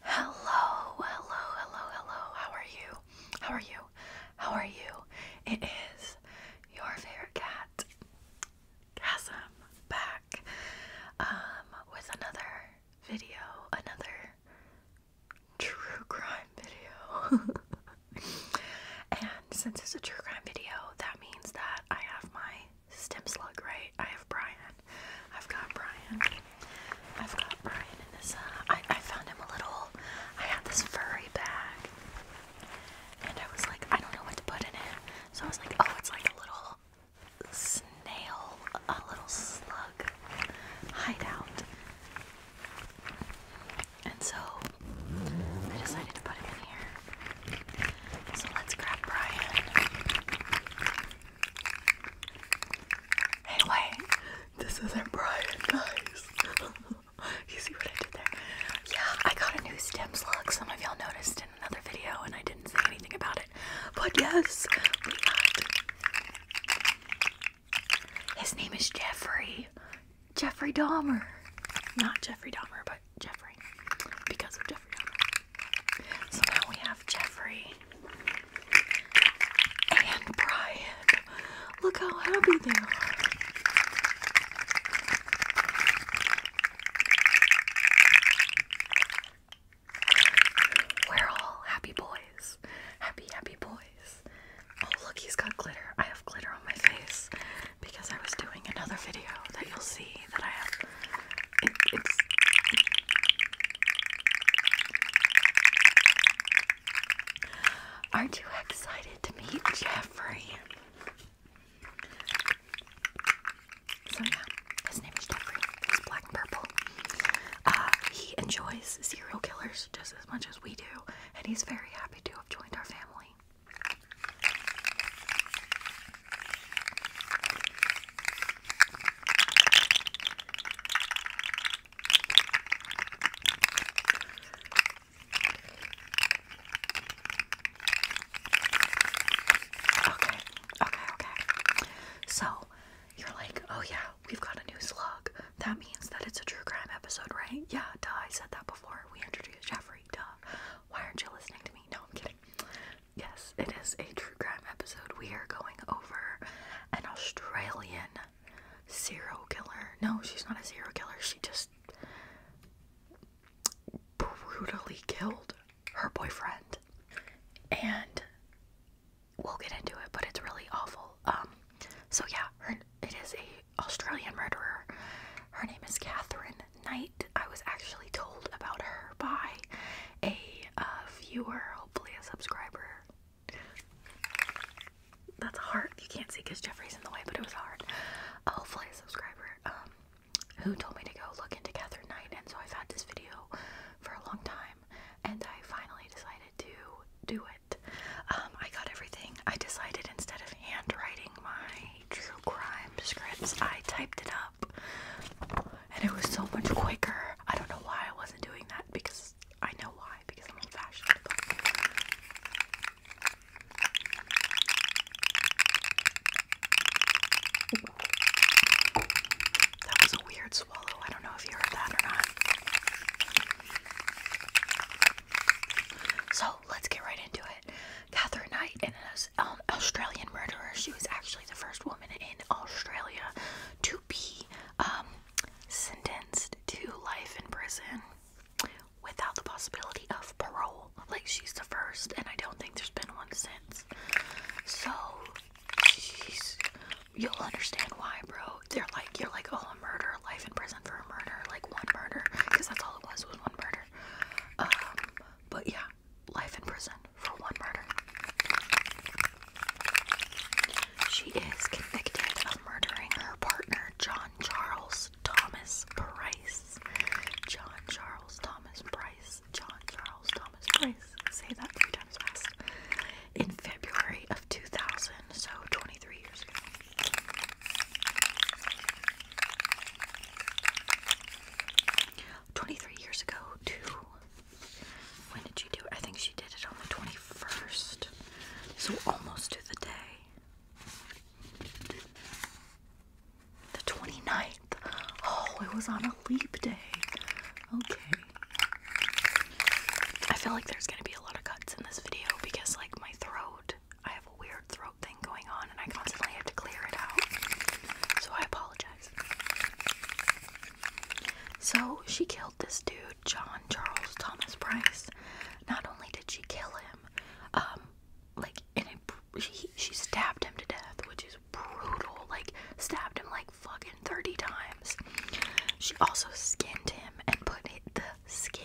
Hello, hello, hello, hello. How are you? How are you? How are you? It is your favorite cat, Chasm, back um, with another video, another true crime video. and since it's a true crime video, that means that I have my stem slug, right? I have Brian. I've got Brian. I've got Brian in this. Uh, I, I found him a little. I had this furry bag, and I was like, I don't know what to put in it. So I was like, oh, it's like a little snail, a little slug hideout. And so I decided to put him in here. So let's grab Brian. Anyway, this isn't Brian, guys. you see what I did there? Yeah, I got a new stem look. Some of y'all noticed in another video, and I didn't say anything about it. But yes, we got. His name is Jeffrey. Jeffrey Dahmer. Not Jeffrey Dahmer, but Jeffrey. Because of Jeffrey Dahmer. So now we have Jeffrey and Brian. Look how happy they are. We're all happy boys. Happy, happy boys. Oh, look, he's got glitter. I have glitter on my face because I was doing another video that you'll see that I have. Aren't you excited to meet Jeffrey? his name is Jeffrey. He's black and purple. Uh, he enjoys serial killers just as much as we do, and he's very happy to have joined our family. Okay, okay, okay. So you're like, oh yeah, we've got a new slug. That means that it's a true crime episode, right? Yeah, duh, I said that before we introduced Jeffrey, duh. Why aren't you listening to me? No, I'm kidding. Yes, it is a true crime episode, we are going over an Australian serial killer. No, she's not a serial killer. She just brutally killed her boyfriend. And we'll get into it, but it's really awful. Um so yeah, her, it is a Australian murderer. Her name is Catherine Knight. I was actually told about her by a uh, viewer, hopefully a subscriber that's a heart. You can't see because Jeffrey's in the way, but it was hard. hopefully a subscriber um, who told me to go look into Catherine Knight, and so I've had this video for a long time, and I finally decided to do it. Um, I got everything. I decided instead of handwriting my true crime scripts, I typed it up, and it was so much quicker. I don't know why I wasn't doing that because I know why because I'm old fashioned. That was a weird swallow. I don't know if you heard that or not. So let's get right into it. Catherine Knight, an um, Australian murderer, she was actually the first woman in Australia to be um, sentenced to life in prison without the possibility of parole. Like, she's the first, and I don't think there's been one since. So, she's. You'll understand why, bro. They're like, you're like, oh, a murder, life in prison for a murder, like one murder, because that's all it was, was one murder. Um, but yeah, life in prison for one murder. She is convicted of murdering her partner, John Charles Thomas Price. John Charles Thomas Price. John Charles Thomas Price. Say that three times fast. In February of 2000, so 23 years ago. Twenty-three years ago to when did she do it? I think she did it on the 21st. So almost to the day. The 29th. Oh, it was on a leap day. Okay. I feel like there's going to be a lot of cuts in this video because, like, my throat, I have a weird throat thing going on and I constantly have to clear it out. So I apologize. So she killed this dude, John Charles Thomas Price. Not only did she kill him, um, like she, she stabbed him to death, which is brutal. Like stabbed him like fucking thirty times. She also skinned him and put the skin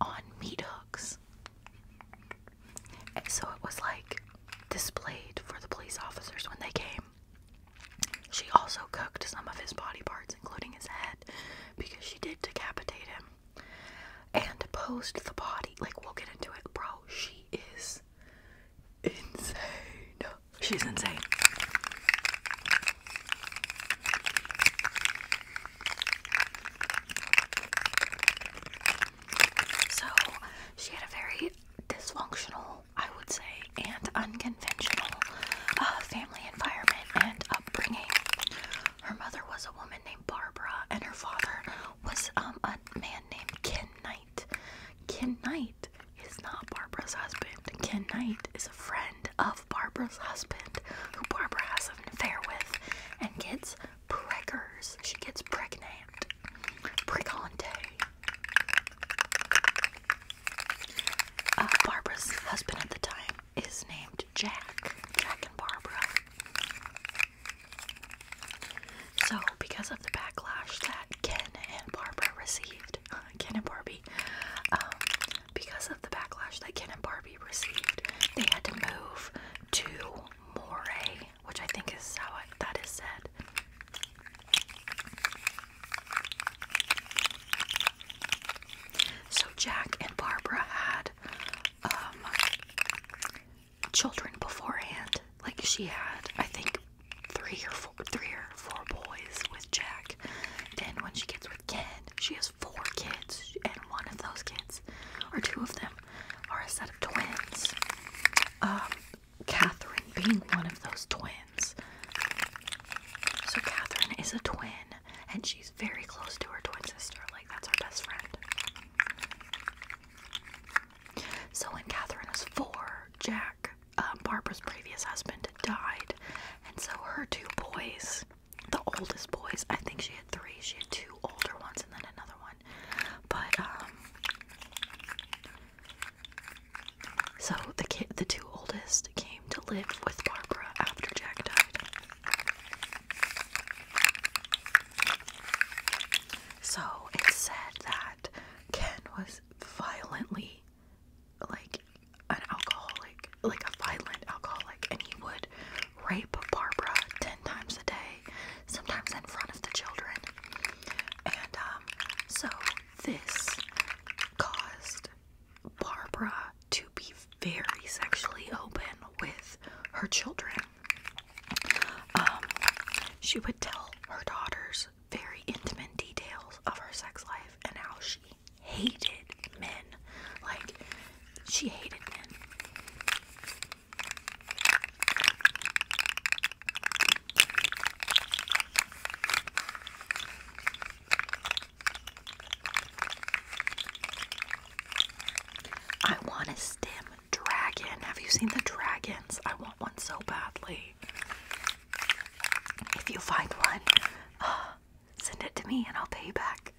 on meat hooks. so it was like displayed for the police officers when they came. She also cooked some of his body parts, including his head, because she did decapitate him. And posed the body. Like, we'll get into it, bro. She is insane. She's insane. So, she had a very dysfunctional I would say, and unconventional uh, family environment and upbringing. Her mother was a woman named Barbara, and her father was um, a man named Ken Knight. Ken Knight is not Barbara's husband. Ken Knight is a friend of Barbara's husband, who Barbara has an affair with, and gets preggers. She gets pregnant. Pregante. Uh, Barbara's husband at the time is named Jack. Jack and Barbara. So, because of the backlash that Ken and Barbara received, Ken and Barbie, um, because of the backlash that Ken and Barbie received, they had to move to Moray, which I think is how that is said. So Jack and Barbara had um, children beforehand. Like she had, I think, three or four, three or four boys with Jack. Then when she gets with Ken, she has four kids, and one of those kids, or two of them, are a set of twins. Um, Catherine being one of those twins. So Catherine is a twin, and she's very close to her twin sister. Like that's her best friend. So when Catherine was four, Jack, um, Barbara's previous husband, died, and so her two boys, the oldest boys, I think she had three. She had two older ones and then another one, but um, so the kid, the two oldest came to live with Barbara after Jack died. So it said that Ken was violently like an alcoholic, like a violent alcoholic, and he would rape Barbara 10 times a day, sometimes in front of the children. And um, so this caused Barbara to be very sexually open with her children. Um, she would tell her daughters very intimate details of her sex life and how she hated men. Like, she hated men. I want a stem dragon. Have you seen the dragons? I want one so badly. If you find one, uh, send it to me and I'll pay you back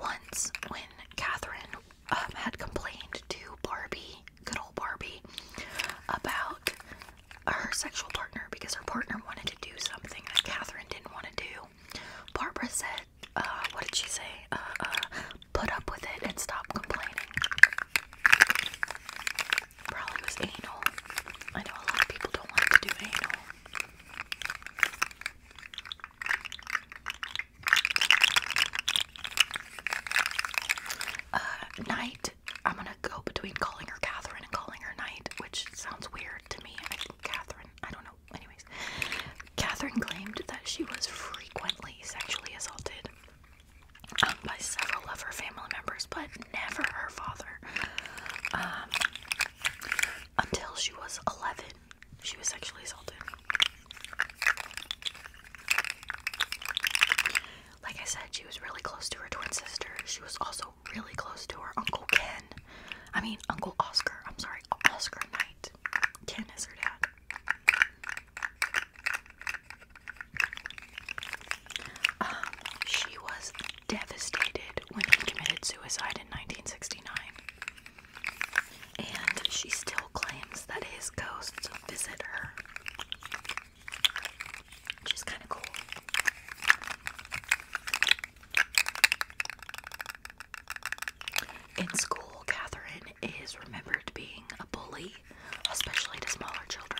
once when Catherine um, had complained to Barbie, good old Barbie, about her sexual partner because her partner wanted to do something that Catherine didn't want to do, Barbara said, uh, what did she say? Uh, uh, put up with it and stop complaining. Probably was anal. I know a lot of people don't want to do anal. Uh, night. I'm gonna go between calling her Catherine and calling her Night, which sounds weird to me. Catherine. I don't know. Anyways, Catherine claimed that she was frequently sexually assaulted um, by several of her family members, but never her father. Um, until she was 11, she was sexually assaulted. Like I said, she was really close to her twin sister. She was also really close to her Uncle Ken. I mean, Uncle Oscar. I'm sorry, Oscar Knight. Ken is her dad. Um, she was devastated when he committed suicide in 1969. And she still claims that his ghosts visit her, which is kind of cool. In school, Catherine is remembered being a bully, especially to smaller children.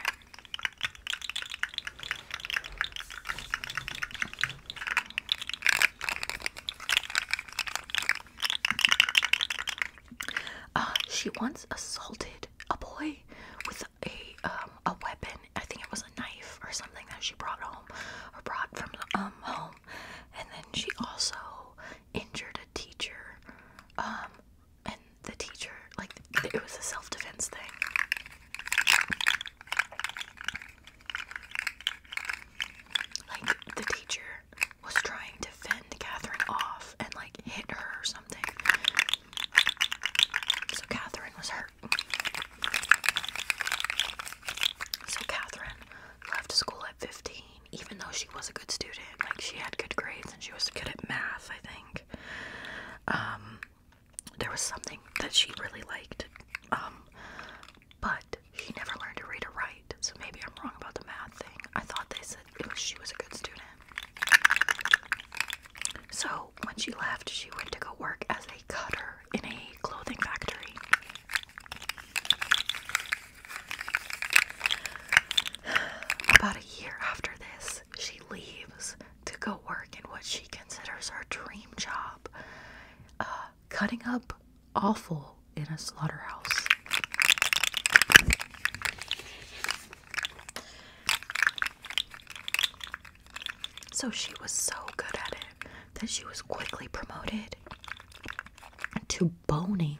Uh, she once assaulted a boy with a um, a weapon. I think it was a knife or something that she brought home or brought from um home. And then she also injured a teacher. Um, and the teacher, like, it was a self defense thing. Like the teacher was trying to fend Catherine off and like hit her or something. So Catherine was hurt. So Catherine left school at 15, even though she was a good student. Like she had good grades and she was good at math, I think. Um, there was something that she really liked. Um, but but never learned to read or write, so maybe I'm wrong about the math thing. I thought they said she was a good student. So when she left, she went to go work as a cutter in a clothing factory. About a year after this, she leaves to go work in what she considers her dream job uh, cutting up awful in a slaughterhouse. So she was so good at it that she was quickly promoted to boning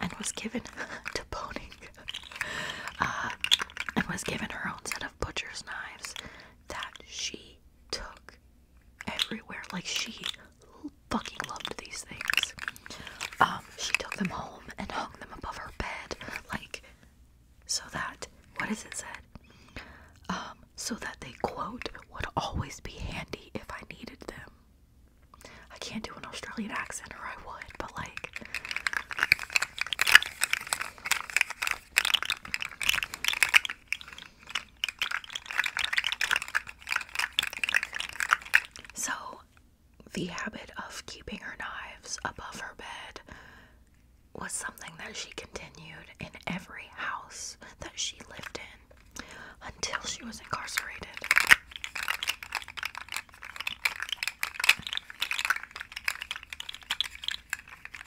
and was given to boning uh, and was given her own set of butcher's knives that she took everywhere. Like she fucking loved these things. Um, she took them home and hung them above her bed, like so that what is it said? Um, so that they quote would always be handy if I needed them. I can't do an Australian accent or I would, but like so, the habit of keeping her knives above her bed was something that she continued in every house that she lived in until she was incarcerated.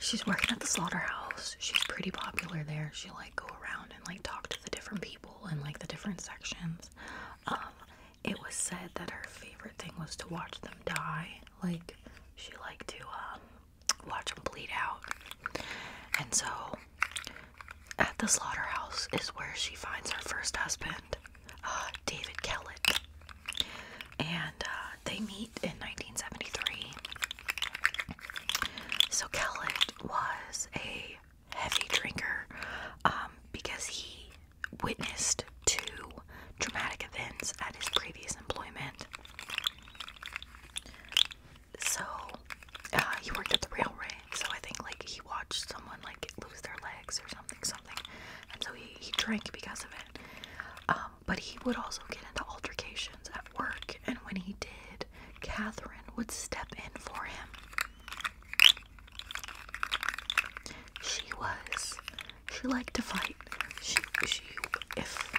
She's working at the slaughterhouse. She's pretty popular there. She like go around and like talk to the different people in like the different sections. Um, it was said that her favorite thing was to watch them die. Like she liked to um, watch them bleed out. And so at the slaughterhouse is where she finds her first husband, uh, David Kellett and uh, they meet in 1973. So Kellett was a heavy drinker um, because he witnessed two dramatic events at his previous employment. So uh, he worked at the railway, so I think like he watched someone like lose their legs or something, something, and so he, he drank because of it. Um, um, but he would also get into altercations at work, and when he did, Catherine would step in for him. She was. She liked to fight. She, she, if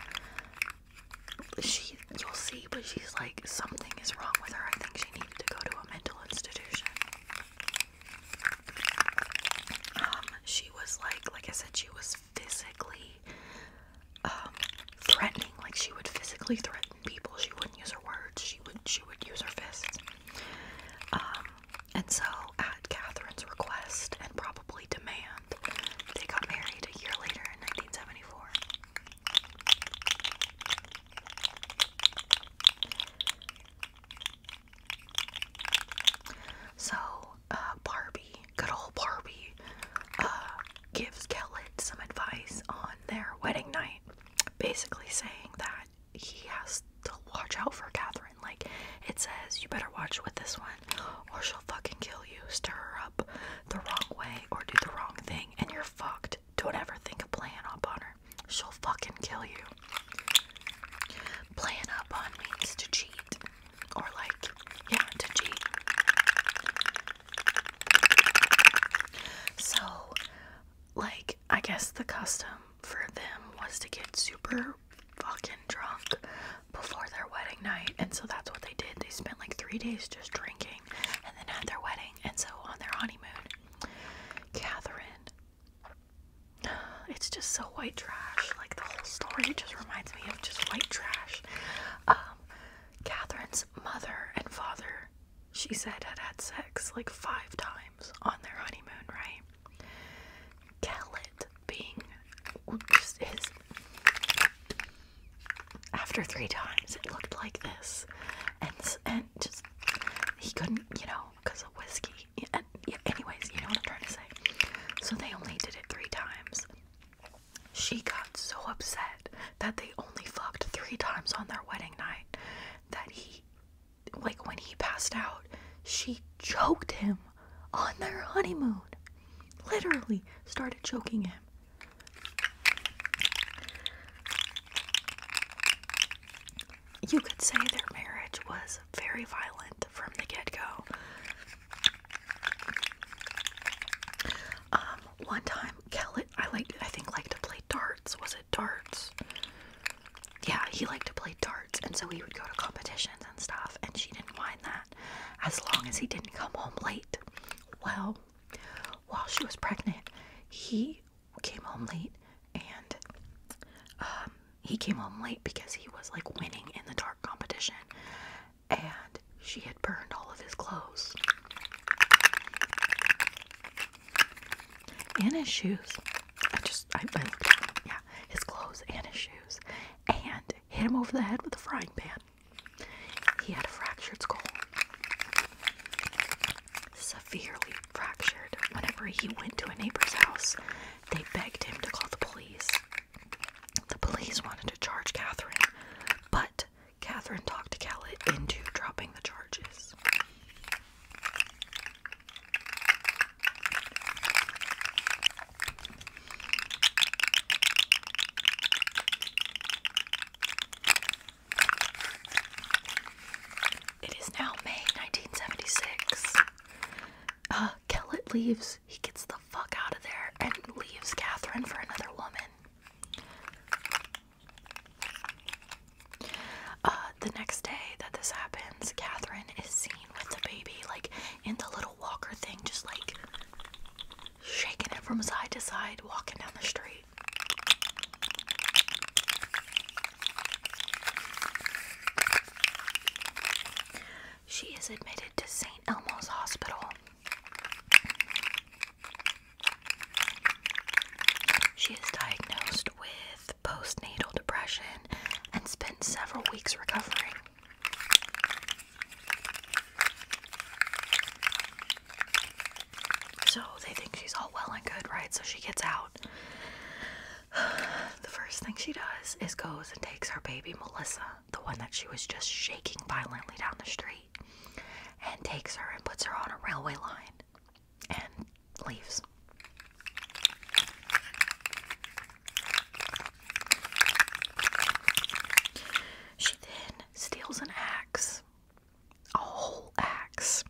she, you'll see, but she's like, something is wrong with her. I think she needed to go to a mental institution. Um, she was like, like I said, she was physically um, threatening. Like she would physically threaten people. She wouldn't use her words. She would she would use her fists. Um, and so at Catherine's request and probably demand, they got married a year later in 1974. So uh, Barbie, good old Barbie, uh, gives Kellett some advice on their wedding night, basically saying that he has to watch out for Catherine. Like, it says, you better watch with this one, or she'll fucking kill you, stir her up the wrong way, or do the wrong thing, and you're fucked. Don't ever think of playing up on her. She'll fucking kill you. Playing up on means to cheat or like yeah to G. so like i guess the custom for them was to get super fucking drunk before their wedding night and so that's what they did they spent like three days just drinking and then had their wedding and so on their honeymoon catherine it's just so white trash. Like the whole story just reminds me of just white trash. Um, Catherine's mother and father, she said, had had sex like five times on their honeymoon, right? Kellett being just his. After three times, it looked like this, and and just he couldn't, you know, because of whiskey. And anyways, you know what I'm trying to say. So they only did it three times, she got so upset that they only fucked three times on their wedding night that he, like, when he passed out, she choked him on their honeymoon. Literally started choking him. You could say their marriage was very violent from the get go. Um, one time, Kelly, I liked, I think, liked to play darts. Was it darts? Yeah, he liked to play darts, and so we would go to competitions and stuff. And she didn't mind that, as long as he didn't come home late. Well, while she was pregnant, he came home late, and um, he came home late because he was like winning in the dart competition and she had burned all of his clothes and his shoes. I just, Yeah, his clothes and his shoes, and hit him over the head with a frying pan. He had a fractured skull, severely fractured. Whenever he went to a neighbor's house, they begged him to call the police. The police wanted to charge Catherine, but Catherine talked to Khaled into dropping the charges. It is now May 1976. Uh, leaves. He gets the out of there and leaves Catherine for another woman. Uh, the next day that this happens, Catherine is seen with the baby, like in the little walker thing, just like shaking it from side to side, walking down the street. She is admitted to St. Elmo's Hospital she is diagnosed with postnatal depression and spent several weeks recovering. So they think she's all well and good, right? So she gets out. The first thing she does is goes and takes her baby Melissa the one that she was just shaking violently down the street, and takes her and puts her on a railway line and leaves. She then steals an axe, a whole axe,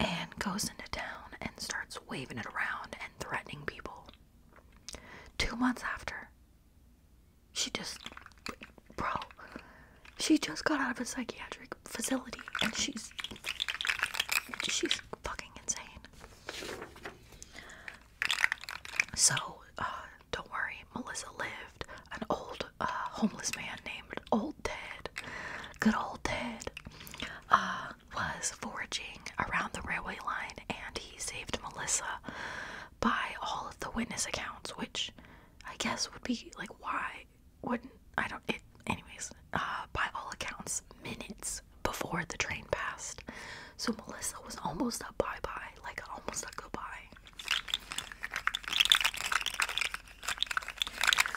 and goes into town and starts waving it around and threatening people. Two months after, she just, bro, she just got out of a psychiatric facility and she's, she's fucking insane. So, uh, don't worry, Melissa lived an old uh, homeless man named Old Ted. Good old Ted uh, was foraging around the railway line and he saved Melissa by all of the witness accounts, which I guess would be like, why wouldn't I don't it? Anyways, uh, by all accounts, minutes before the train passed. So Melissa was almost a bye bye, like almost a goodbye.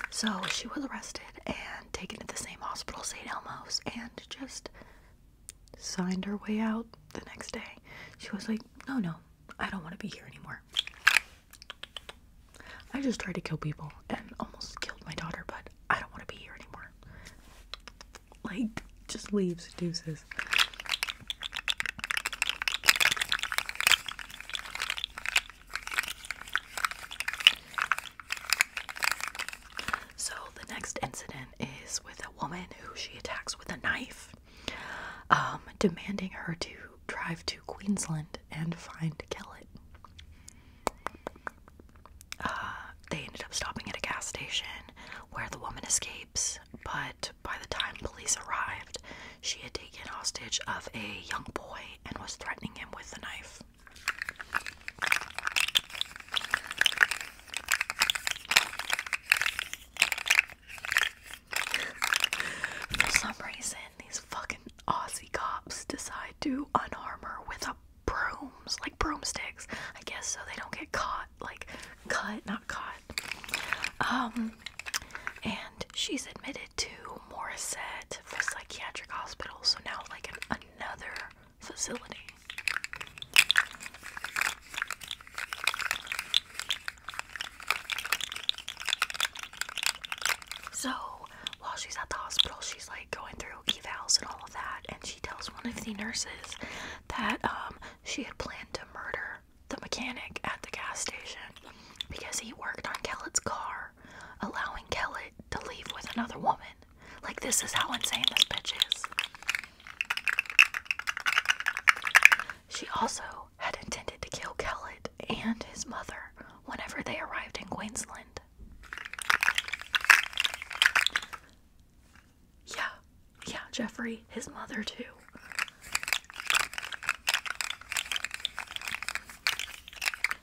So she was arrested and taken to the same hospital, St. Elmo's, and just signed her way out the next day. She was like, No, no, I don't want to be here anymore. I just tried to kill people and almost killed my daughter, but I don't want to be here anymore. Like, just leaves, deuces. So, the next incident is with a woman who she attacks with a knife, um, demanding her to drive to Queensland and find Kellett. Uh, they ended up stopping at a gas station where the woman escapes, but by the time police arrived, she had taken hostage of a young boy and was threatening him with a knife. For some reason, these fucking Aussie cops decide to unarm her with brooms, like broomsticks. I guess so they don't get caught, like cut, not caught. Um, and she's admitted to Morissette for psychiatric hospital, so now like another facility. So while she's at the hospital, she's like going through evals and all of that, and she tells one of the nurses that um, she had planned to murder the mechanic at the gas station because he worked on Kellett's car, allowing Kellett to leave with another woman. Like, this is how insane this bitch is. She also had intended to kill Kellet and his mother whenever they arrived in Queensland. Yeah, yeah, Jeffrey, his mother too.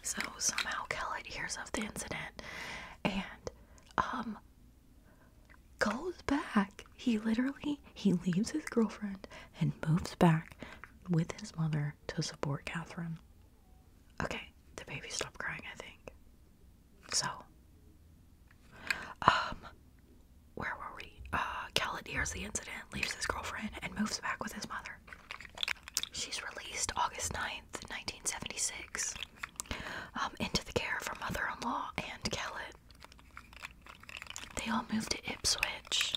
So somehow Kellet hears of the incident and um goes back. He literally he leaves his girlfriend and moves back with his mother to support Catherine. Okay, the baby stopped crying, I think. So um where were we? Uh Khaled hears the incident, leaves his girlfriend, and moves back with his mother. She's released August 9th, 1976, um, into the care of her mother in law and Khaled. They all move to Ipswich,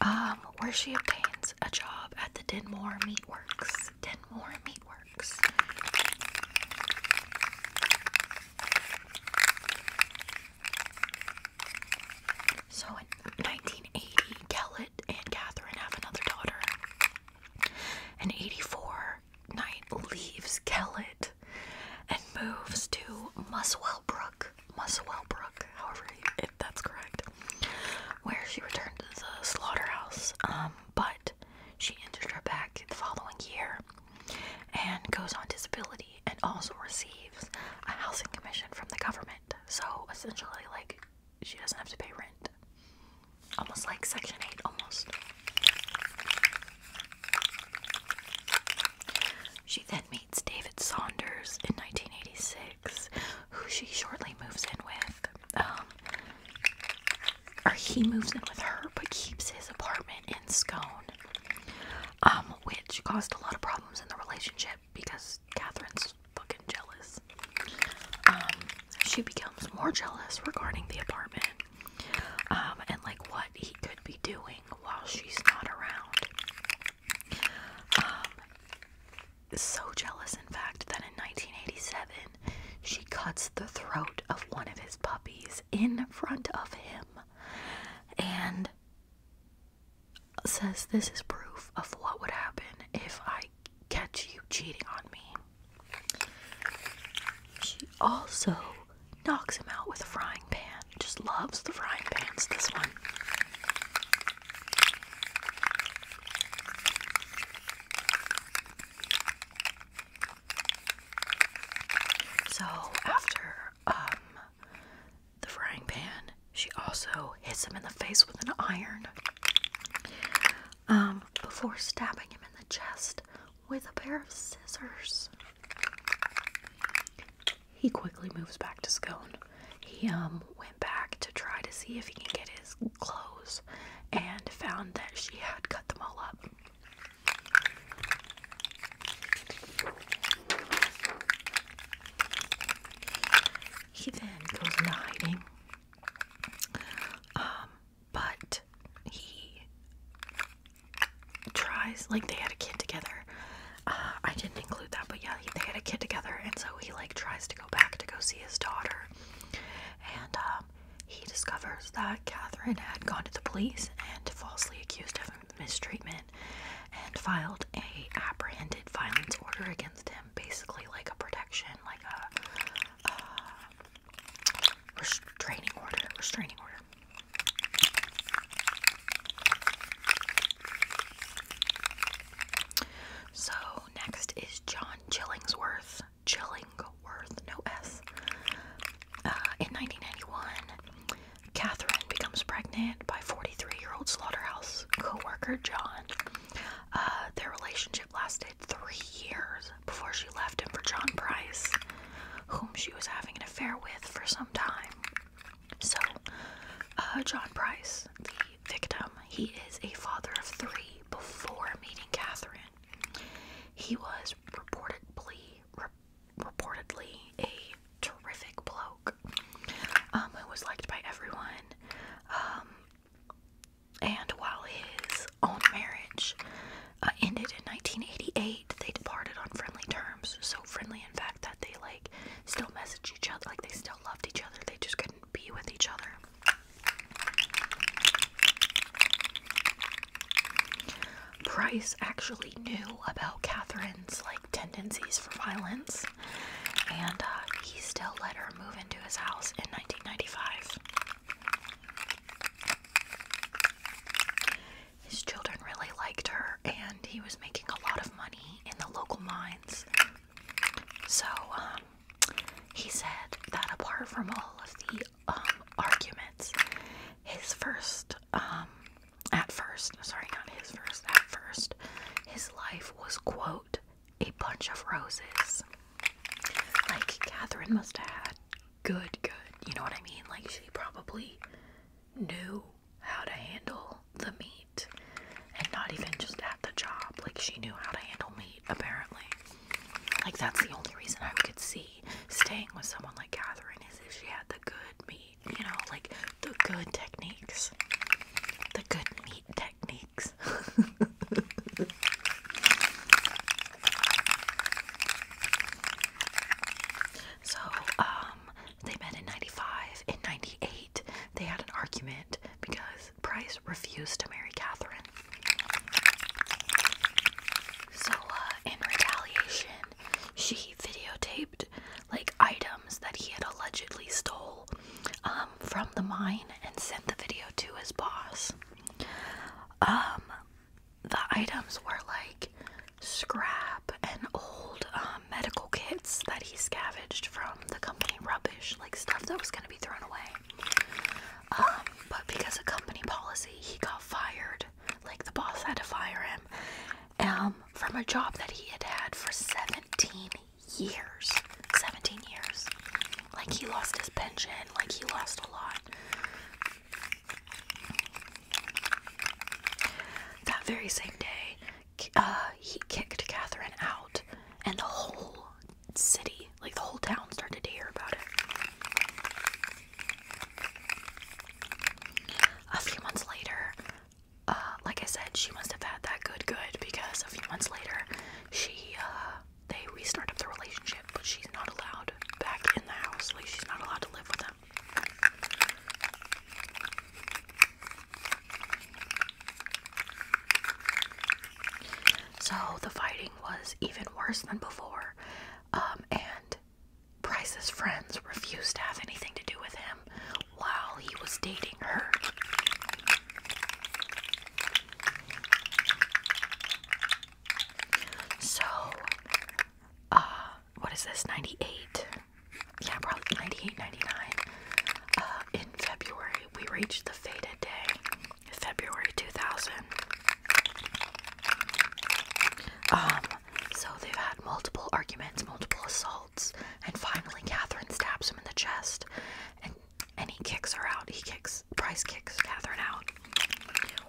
um, where she obtains a job at the Dinmore Meatworks. Dinmore Meatworks. So in 1980, Kellett and Catherine have another daughter. and 84, Knight leaves Kellett and moves to Muswell Brook. however, if that's correct, where she returned to the slaughterhouse. Um, but she injured her back the following year and goes on disability and also receives a housing commission from the government. So essentially, like, she doesn't have to pay rent. Almost like Section 8, almost. She then meets David Saunders in 1986, who she shortly moves in with. Um, or he moves in with her, but keeps his apartment in Scone, um, which caused a lot of problems in the relationship because Catherine's fucking jealous. Um, she becomes more jealous regarding the apartment, um, and like what he could be doing while she's not around. Um, so jealous, in fact, that in 1987 she cuts the throat of one of his puppies in front of him and says, This is proof of what would happen if I catch you cheating on me. She also knocks him out with a frying pan. Just loves the frying pans, this one. So after um the frying pan, she also hits him in the face with an iron. Um, before stabbing him in the chest with a pair of scissors. He quickly moves back to Scone. He um went back to try to see if he can get his clothes and found that she had cut them all up. He then goes into hiding. Um, but he tries like they had a kid together uh, i didn't include that but yeah they had a kid together and so he like tries to go back to go see his daughter and um, he discovers that catherine had gone to the police and falsely accused him of mistreatment and filed a apprehended violence order against him basically like a protection like a uh, restraining order, restraining order. So next is John Chillingsworth, Chillingworth, no S. Uh, in 1991, Catherine becomes pregnant by 43-year-old Slaughterhouse co-worker John. Uh, their relationship lasted three years before she left him for John Price whom she was having an affair with for some time. So, uh, John Price, the victim, he is a father of three before meeting Catherine. He was reportedly, reportedly a terrific bloke um, who was liked by everyone. Um, and while his own marriage uh, ended in 1988. They departed on friendly terms, so friendly in fact that they like still message each other, like they still loved each other. They just couldn't be with each other. Price actually knew about Catherine's like tendencies for violence, and uh, he still let her move into his house in 1995. His children really liked her, and he was making a lot of money in the local mines. So, um, he said that apart from all of the um, arguments, his first, um, at first, sorry, not his first, at first, his life was, quote, a bunch of roses. Like, Catherine must have had good, good, you know what I mean? Like, she probably knew how to handle the meat and not even just at the job. Like, she knew how to handle meat, apparently. Like, that's the only reason I could see staying with someone like Catherine is if she had the good meat, you know, like the good techniques. The good meat techniques. So um, they met in 95. In 98, they had an argument because Price refused to marry Catherine. So uh, in retaliation, she videotaped like items that he had allegedly stole um, from the mine and sent the video to his boss. Um, the items were like scrap and old um, medical kits that he scavenged from the company rubbish, like stuff that was going to be thrown away. Um, but because of company policy, he got fired. Like the boss had to fire him um, from a job that he had had for 17 years. 17 years. Like he lost his pension, like he lost a lot. That very same day, uh, he kicked Catherine out, and the whole city, like the whole town, started to hear about it. A few months later, uh, like I said, she must have had that good, good because a few months later, she, uh, they restart up the relationship, but she's not allowed back in the house. Like she's not allowed to live with them. So the fighting was even worse than before, um, and Price's friends refused to have anything to do with him while he was dating her. So uh, what is this, 98? Yeah, probably 98, 99. Uh, in February, we reached the fated day, February 2000. Um, so they've had multiple arguments, multiple assaults, and finally Catherine stabs him in the chest, and and he kicks her out. He kicks, Price kicks Catherine out.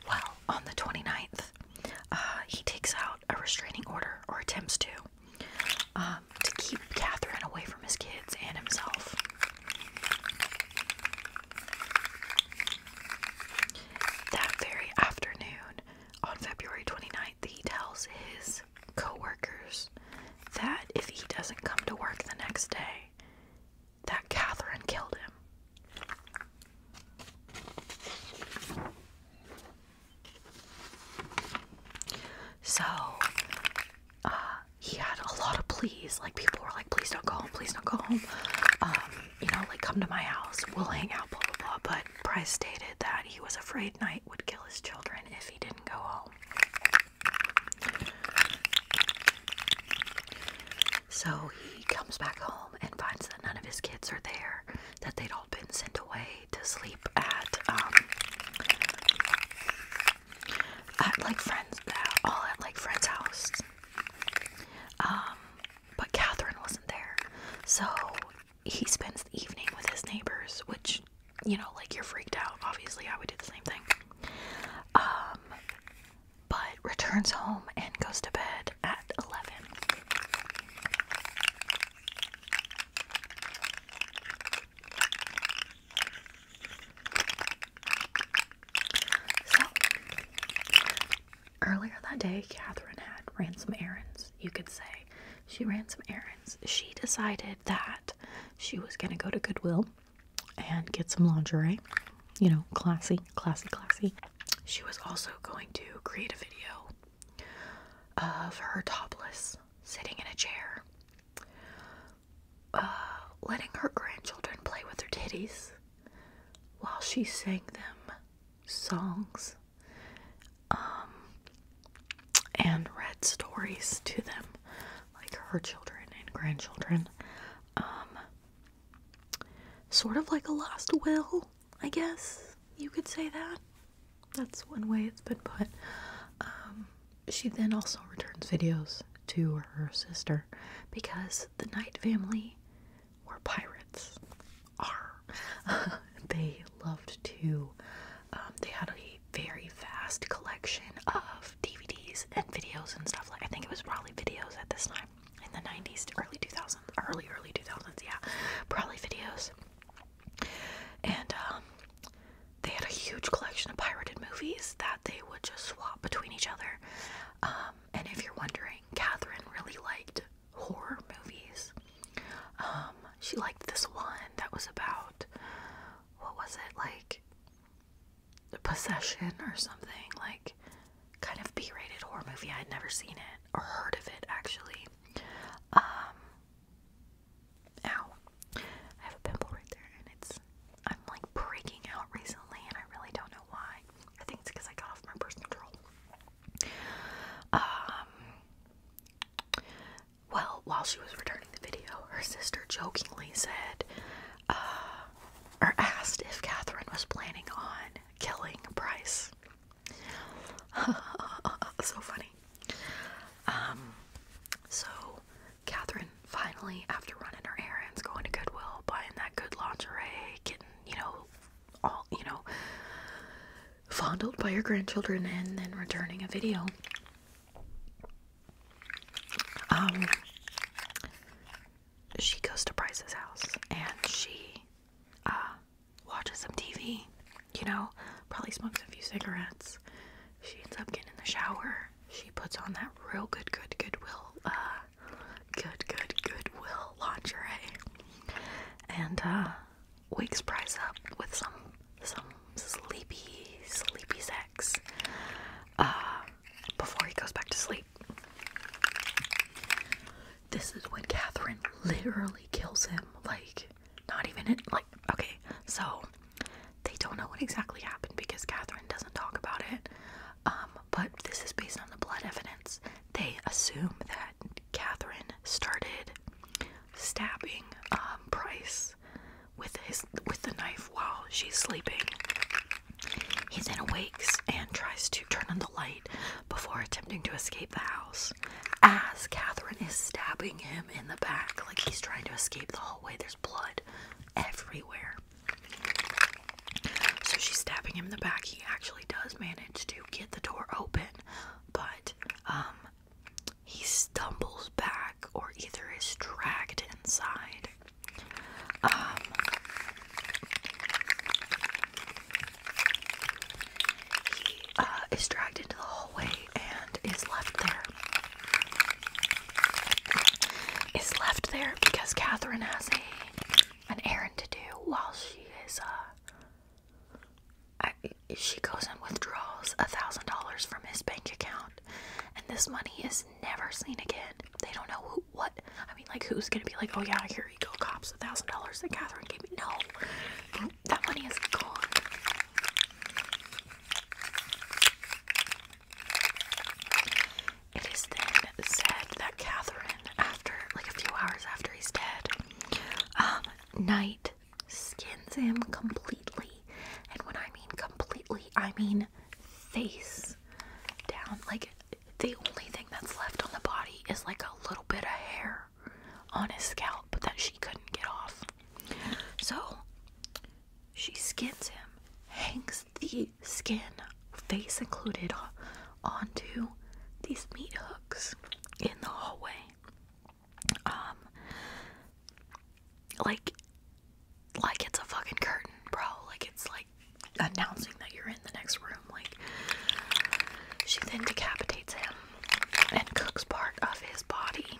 Well, on the 29th, uh, he takes out a restraining order or attempts to um, to keep Catherine away from his kids and himself. That very afternoon, on February 29th, he tells his coworkers that if he doesn't come to work the next day, that Catherine killed him. So uh, he had a lot of pleas. Like people were like, please don't go home, please don't go home. Um, you know, like come to my house, we'll hang out, blah blah blah. But Price stated that he was afraid Knight would kill his children if he didn't go home. So he comes back home and finds that none of his kids are there, that they'd been sent away to sleep at um at like friends all at like friends' house. Um but Catherine wasn't there. So he spends the evening with his neighbors, which you know, like you're freaked out. Obviously, I would do the same thing. Um but returns home and goes to bed at 11. So, earlier that day, Catherine had ran some errands, you could say. She ran some errands. She decided that she was going to go to Goodwill and get some lingerie. You know, classy, classy, classy. She was also going to create a video of her topless, sitting in a chair, uh, letting her grandchildren play with her titties while she sang them songs um, and read stories to them, like her children and grandchildren. Um, sort of like a lost will I guess you could say that. That's one way it's been put. Um, she then also returns videos to her sister because the Knight family were pirates. Are they loved to? Um, they had a very vast collection of DVDs and videos and stuff. Like I think it was probably videos at this time in the 90s, early 2000s, early early 2000s. Yeah, probably videos. And um, they had a huge collection of pirated movies that they would just swap between each other. Um, and if you're wondering, Catherine really liked horror movies. Um, she liked this one that was about what was it like possession or something like kind of b-rated horror movie i had never seen it or heard of it actually um, ow. I have a pimple right there, and it's, I'm like breaking out recently, and I really don't know why. I think it's because I got off my birth control. Um, well, while she was returning the video, her sister jokingly said, uh, or asked if Catherine was planning on killing Bryce. so funny. Um, so Catherine finally, after running her errands, going to Goodwill, buying that good lingerie, getting you know all you know fondled by her grandchildren, and then returning a video. Um, she goes to Bryce's house and she uh watches some TV, you know, probably smokes a few cigarettes. She ends up getting in the shower. She puts on that real good, good, goodwill, uh, good, good, goodwill lingerie, and uh, wakes Price up with some some sleepy, sleepy sex uh, before he goes back to sleep this is when Catherine literally kills him. Like, not even it. Like, okay, so they don't know what exactly happened because Catherine doesn't talk about it. Um, but this is based on the blood evidence. They assume that Catherine started stabbing um, Price with his with the knife while she's sleeping. He then awakes and tries to turn on the light before attempting to escape the house. As Catherine is stabbing him in the back, like he's trying to escape the hallway, there's blood everywhere. So she's stabbing him in the back. He actually does manage to get the door open, but um, he stumbles back or either is dragged inside. Um, he uh, is dragged into the hallway and is left there. Is left there because Catherine has an errand to do while she is uh, she goes and withdraws a thousand dollars from his bank account, and this money is never seen again. They don't know who, what. I mean, like, who's gonna be like, "Oh yeah, here you go, cops, a thousand dollars that Catherine gave me." No, that money is gone. It is then said that Catherine, after like a few hours after he's dead, um, Knight skins him completely. And when I mean completely, I mean face down. Like the only thing that's left on the body is like a little bit of hair on his scalp but that she couldn't get off. So she skins him, hangs the skin, face included, onto these meat hooks in the hallway. Um, like, like it's a fucking curtain, bro. Like it's like announcing that you're in the next room. Like, she then decapitates him and cooks part of his body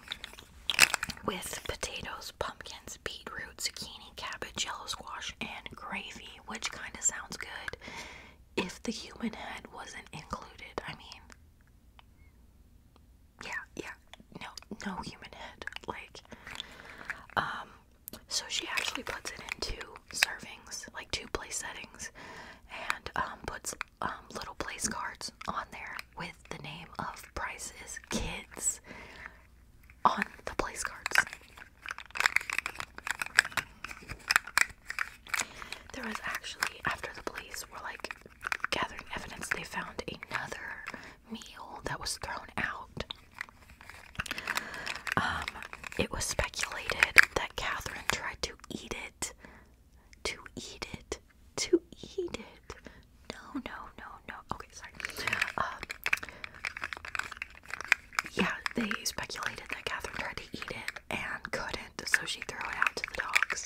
with potatoes, pumpkins, beetroot, zucchini, cabbage, yellow squash, and gravy, which kind of sounds good if the human head wasn't included. I mean, yeah, yeah, no, no human head. Like, um, so she actually puts it in two servings, like two place settings, and um, puts um, little place cards on there with the name of Price's kids on the place cards. There was actually, after the police were like gathering evidence, they found another meal that was thrown out. Um, it was speculated that Catherine tried to eat it to eat it. To eat it. No, no, no, no. Okay, sorry. Um, yeah, they speculated that Catherine tried to eat it and couldn't, so she threw it out to the dogs.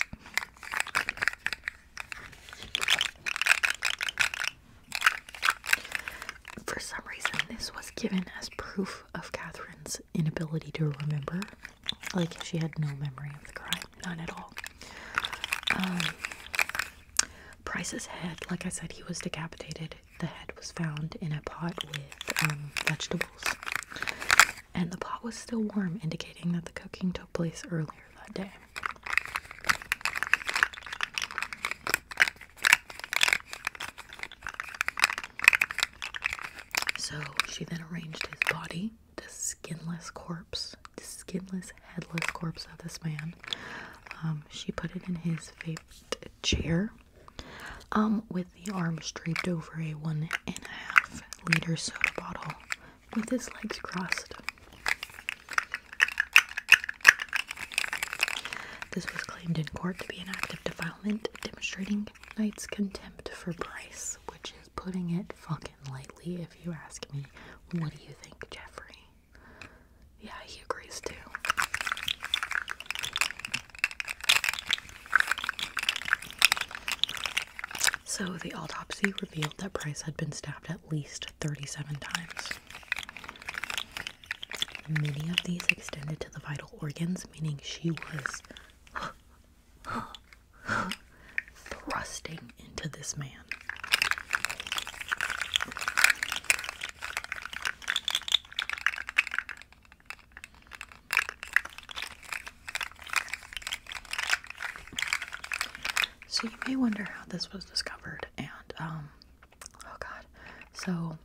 For some reason, this was given as proof of Catherine's inability to remember. Like she had no memory of the crime, none at all. Um, Price's head, like I said, he was decapitated. The head was found in a pot with um, vegetables, and the pot was still warm, indicating that the cooking took place earlier that day. So she then arranged his body the skinless corpse, the skinless, headless corpse of this man. Um, she put it in his favorite chair, um, with the arms draped over a one and a half liter soda bottle, with his legs crossed. This was claimed in court to be an act of defilement, demonstrating Knight's contempt for Bryce, which is putting it fucking lightly if you ask me. What do you think, Jeffrey? Yeah, he agrees too. So the autopsy revealed that Bryce had been stabbed at least 37 times. Many of these extended to the vital organs, meaning she was thrusting into this man. So you may wonder how this was discovered, and um, oh god, so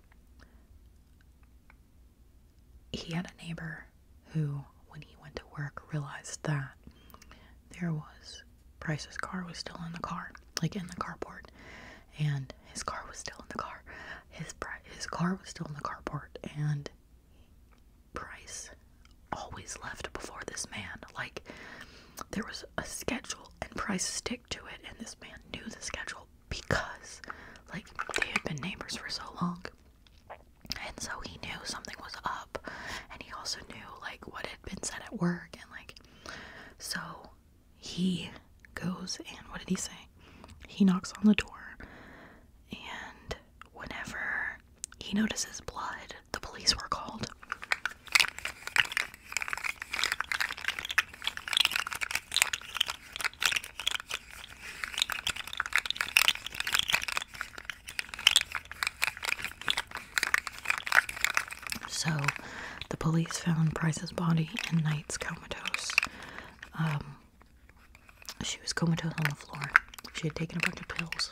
he had a neighbor who, when he went to work, realized that there was Price's car was still in the car, like in the carport, and his car was still in the car. His his car was still in the carport, and Price always left before this man. Like there was a schedule, and Price stick to it, and this man knew the schedule because, like, they had been neighbors for so long. And so he knew something was up, and he also knew like what had been said at work, and like so he goes and what did he say? He knocks on the door, and whenever he notices blood, the police were called. So, the police found Price's body and Knight's comatose. Um, she was comatose on the floor. She had taken a bunch of pills.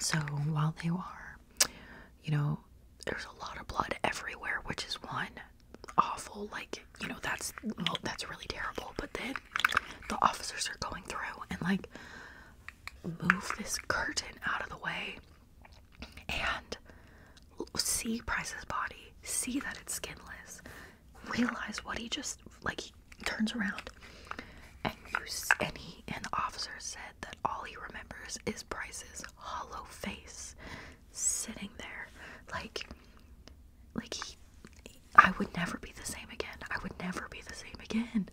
So, while they were, you know, there's a lot of blood everywhere, which is one awful like you know that's well, that's really terrible but then the officers are going through and like move this curtain out of the way and see Price's body see that it's skinless realize what he just like he turns around and you and he and the officer said that all he remembers is Price's hollow face sitting there like like he I would never be the same again. I would never be the same again.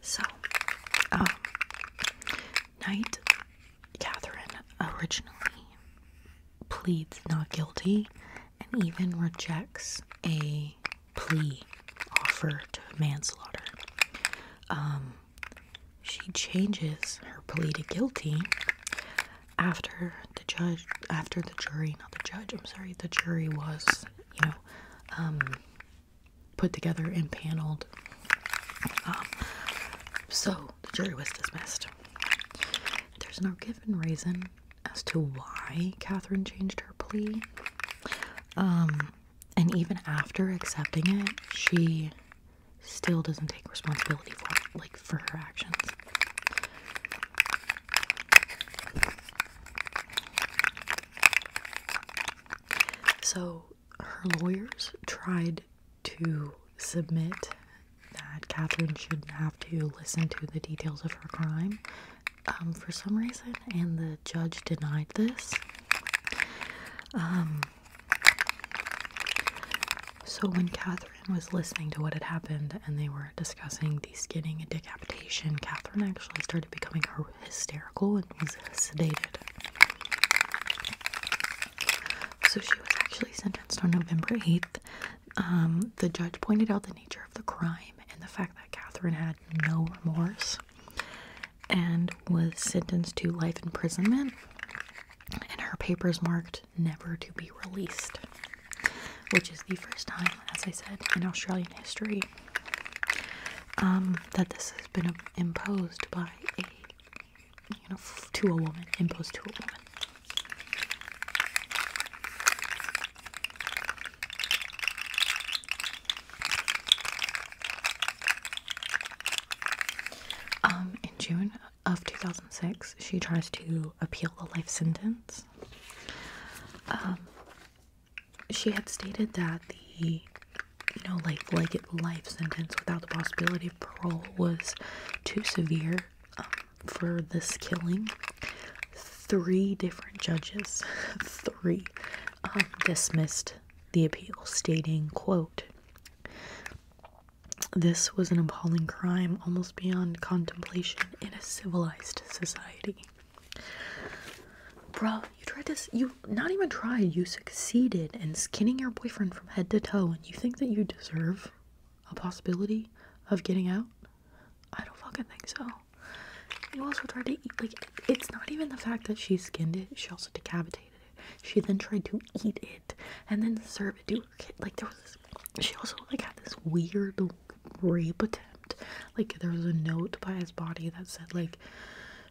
So, oh, Knight Catherine originally pleads not guilty and even rejects a plea offer to manslaughter. Um, she changes her plea to guilty after the judge, after the jury, not the judge, I'm sorry, the jury was, you know, um, put together and paneled. Um, so the jury was dismissed. There's no given reason as to why Catherine changed her plea. Um, and even after accepting it, she still doesn't take responsibility for like for her actions. So her lawyers tried to submit that Catherine should not have to listen to the details of her crime um, for some reason, and the judge denied this. Um, so when Catherine was listening to what had happened and they were discussing the skinning and decapitation, Catherine actually started becoming hysterical and was sedated. So she was actually sentenced on November 8th. Um, the judge pointed out the nature of the crime and the fact that Catherine had no remorse and was sentenced to life imprisonment, and her papers marked never to be released, which is the first time, as I said, in Australian history um, that this has been imposed by a to a woman, imposed to a woman. Um, in June of 2006, she tries to appeal the life sentence. Um, she had stated that the you know like like life sentence without the possibility of parole was too severe um, for this killing three different judges three um, dismissed the appeal stating, quote, this was an appalling crime almost beyond contemplation in a civilized society. Bro, you tried to, you not even tried, you succeeded in skinning your boyfriend from head to toe, and you think that you deserve a possibility of getting out? I don't fucking think so. You also tried to eat, like, it's not even the fact that she skinned it, she also decapitated it. She then tried to eat it and then serve it to her kid. Like, there was this, she also, like, had this weird rape attempt. Like, there was a note by his body that said, like,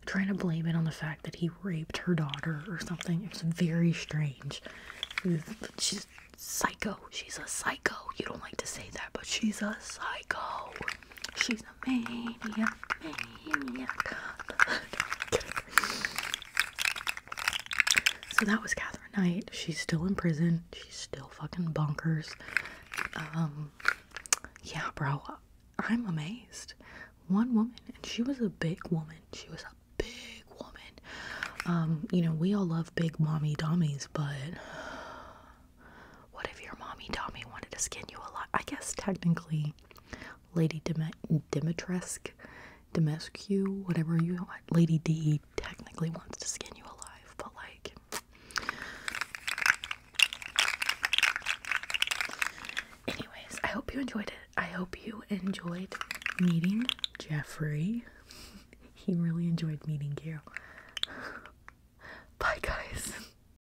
trying to blame it on the fact that he raped her daughter or something. It's very strange. She's psycho. She's a psycho. You don't like to say that, but she's a psycho. She's a maniac, maniac. so that was Catherine Knight. She's still in prison. She's still fucking bonkers. Um, yeah, bro. I'm amazed. One woman, and she was a big woman. She was a big woman. Um, you know, we all love big mommy dummies, but what if your mommy Tommy wanted to skin you alive? I guess technically, Lady Dim Dimitrescu, Dimescu, whatever you want, Lady D technically wants to skin you alive, but like. Anyways, I hope you enjoyed it. I hope you enjoyed meeting Jeffrey. he really enjoyed meeting you. Bye, guys.